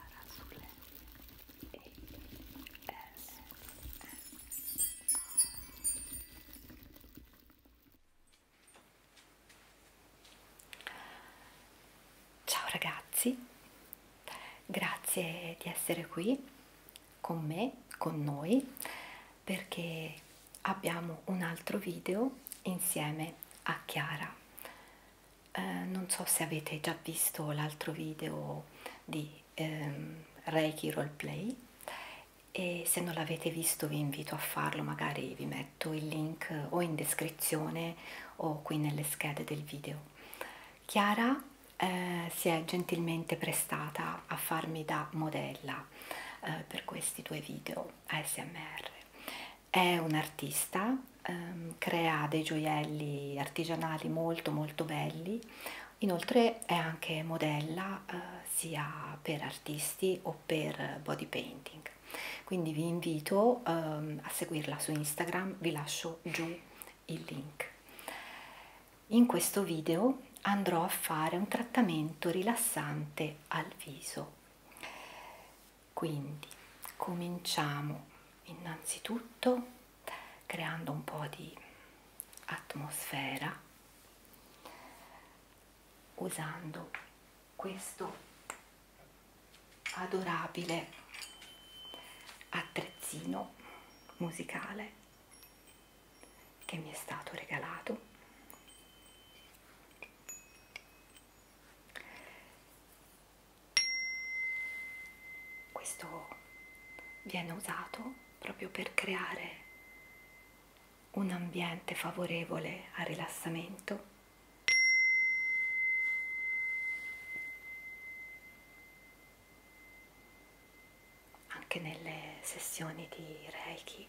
Arasule A S Ciao ragazzi, grazie di essere qui con me, con noi, perché abbiamo un altro video insieme a Chiara eh, non so se avete già visto l'altro video di ehm, Reiki Roleplay e se non l'avete visto vi invito a farlo, magari vi metto il link o in descrizione o qui nelle schede del video. Chiara eh, si è gentilmente prestata a farmi da modella eh, per questi due video ASMR è un artista, ehm, crea dei gioielli artigianali molto molto belli, inoltre è anche modella eh, sia per artisti o per body painting. Quindi vi invito ehm, a seguirla su Instagram, vi lascio giù il link. In questo video andrò a fare un trattamento rilassante al viso. Quindi cominciamo innanzitutto creando un po' di atmosfera usando questo adorabile attrezzino musicale che mi è stato regalato questo viene usato proprio per creare un ambiente favorevole al rilassamento. Anche nelle sessioni di Reiki.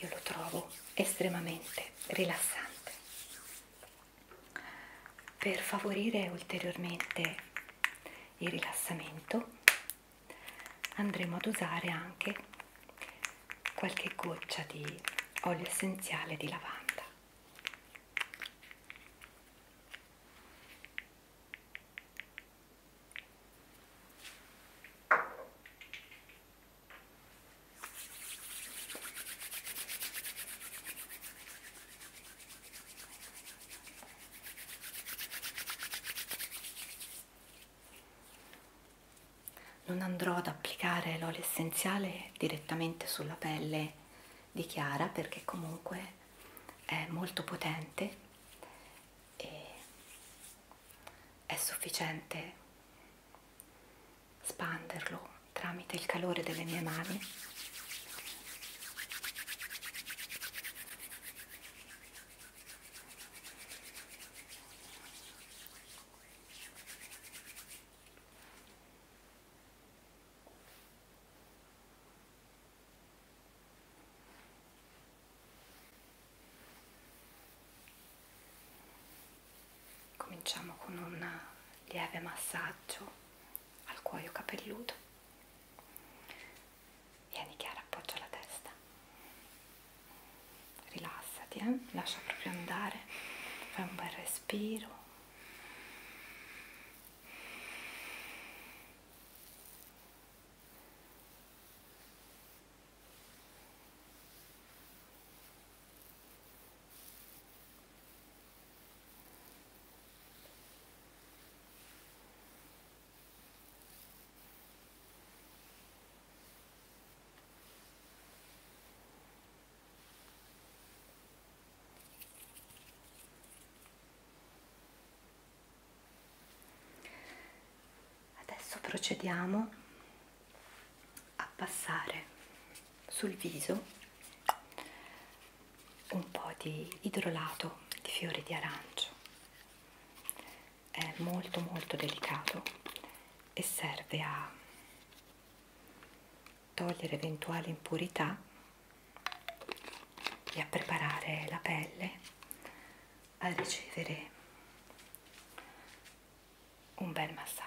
Io lo trovo estremamente rilassante. Per favorire ulteriormente il rilassamento andremo ad usare anche qualche goccia di olio essenziale di lavanda. Non andrò ad applicare l'olio essenziale direttamente sulla pelle di Chiara perché comunque è molto potente e è sufficiente espanderlo tramite il calore delle mie mani Cominciamo con un lieve massaggio al cuoio capelluto. Vieni Chiara, appoggia la testa. Rilassati, eh? lascia proprio andare. Fai un bel respiro. Adesso procediamo a passare sul viso un po' di idrolato di fiori di arancio è molto molto delicato e serve a togliere eventuali impurità e a preparare la pelle a ricevere un bel massaggio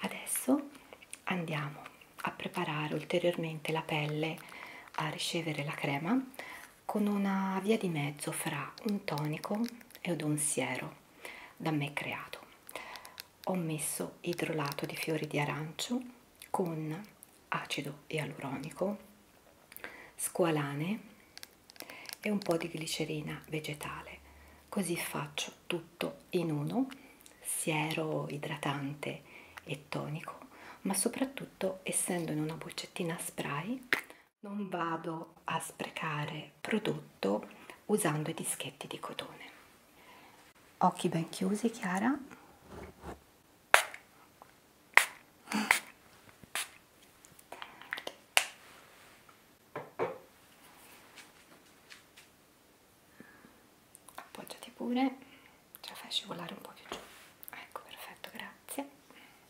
Adesso andiamo a preparare ulteriormente la pelle a ricevere la crema con una via di mezzo fra un tonico ed un siero da me creato. Ho messo idrolato di fiori di arancio con acido ialuronico, squalane e un po' di glicerina vegetale. Così faccio tutto in uno, siero idratante e tonico, ma soprattutto essendo in una boccettina spray non vado a sprecare prodotto usando i dischetti di cotone occhi ben chiusi Chiara appoggiati pure ce la fai scivolare un po' più giù ecco perfetto grazie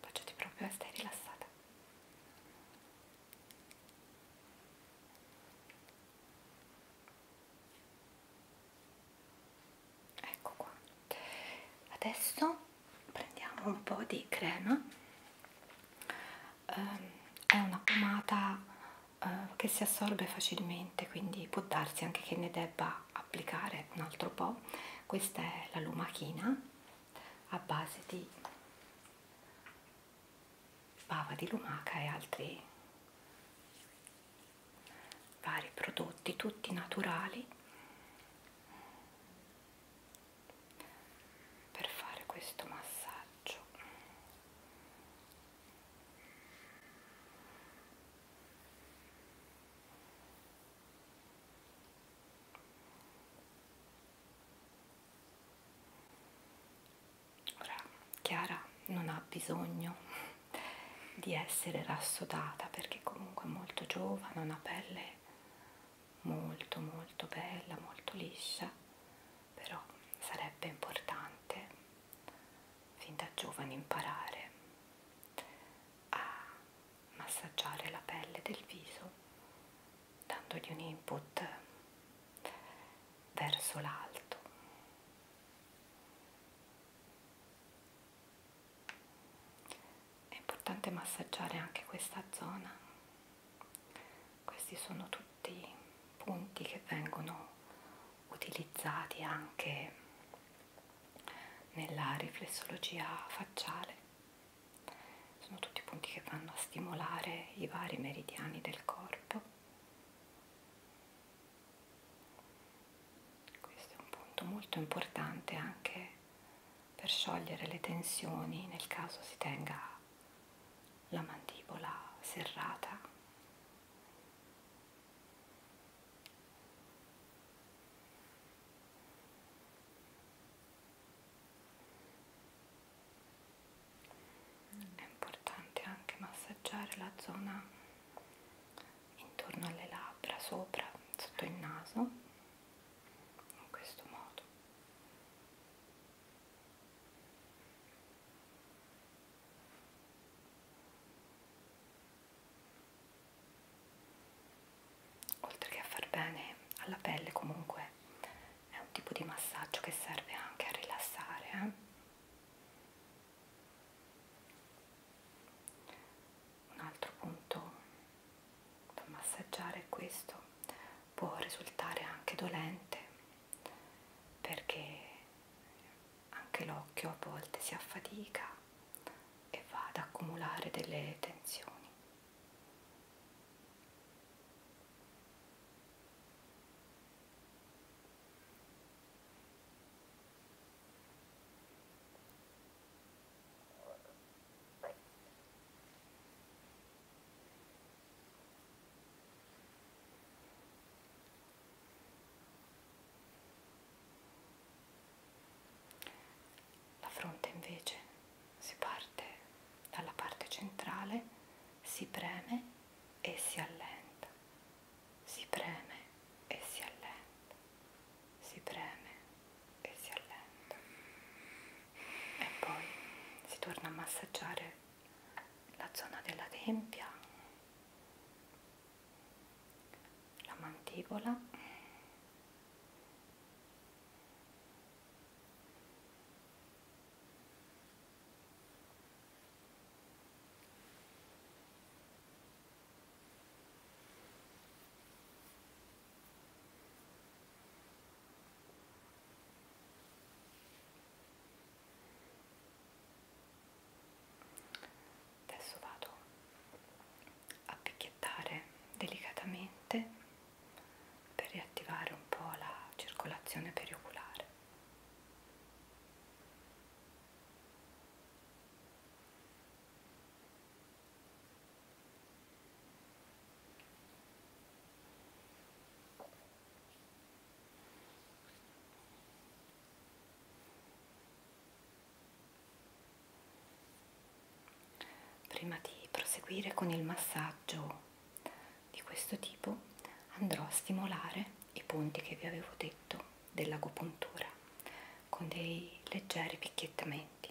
Baciati proprio e stai rilassata. Ecco qua. Adesso prendiamo un po' di crema um, è una pomata uh, che si assorbe facilmente quindi può darsi anche che ne debba applicare un altro po' questa è la lumachina a base di bava di lumaca e altri vari prodotti tutti naturali per fare questo massaggio ora Chiara non ha bisogno di essere rassodata perché comunque è molto giovane ha una pelle molto molto bella, molto liscia, però sarebbe importante fin da giovane imparare a massaggiare la pelle del viso dandogli un input verso l'alto è importante massaggiare anche questa zona questi sono tutti punti che vengono utilizzati anche nella riflessologia facciale sono tutti punti che vanno a stimolare i vari meridiani del corpo questo è un punto molto importante anche per sciogliere le tensioni nel caso si tenga la mandibola serrata. È importante anche massaggiare la zona intorno alle labbra, sopra, sotto il naso, in questo modo. Oltre che a far bene alla pelle comunque è un tipo di massaggio che serve anche a rilassare. Eh? un altro punto da massaggiare questo può risultare anche dolente perché anche l'occhio a volte si affatica e va ad accumulare delle tensioni la fronte invece si parte dalla parte centrale, si preme e si allenta, si preme e si allenta si preme e si allenta e poi si torna a massaggiare la zona della tempia, la mandibola Adesso vado a picchiettare delicatamente per riattivare un po' la circolazione perioculare. Prima di proseguire con il massaggio di questo tipo andrò a stimolare i punti che vi avevo detto dell'agopuntura con dei leggeri picchiettamenti.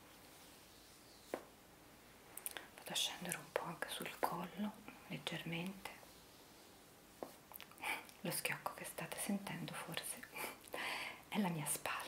vado a scendere un po' anche sul collo leggermente lo schiocco che state sentendo forse è la mia spalla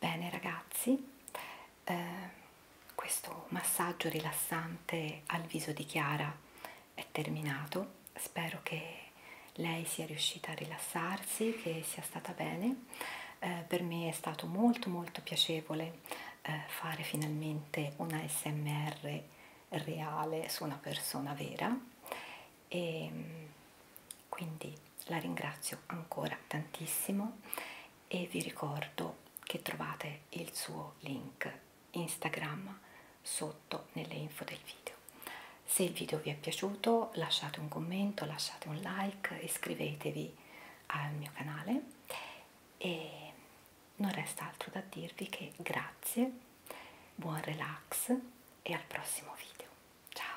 Bene ragazzi, eh, questo massaggio rilassante al viso di Chiara è terminato, spero che lei sia riuscita a rilassarsi, che sia stata bene, eh, per me è stato molto molto piacevole eh, fare finalmente una SMR reale su una persona vera e ehm, quindi la ringrazio ancora tantissimo e vi ricordo che trovate il suo link Instagram sotto nelle info del video. Se il video vi è piaciuto lasciate un commento, lasciate un like, iscrivetevi al mio canale e non resta altro da dirvi che grazie, buon relax e al prossimo video. Ciao!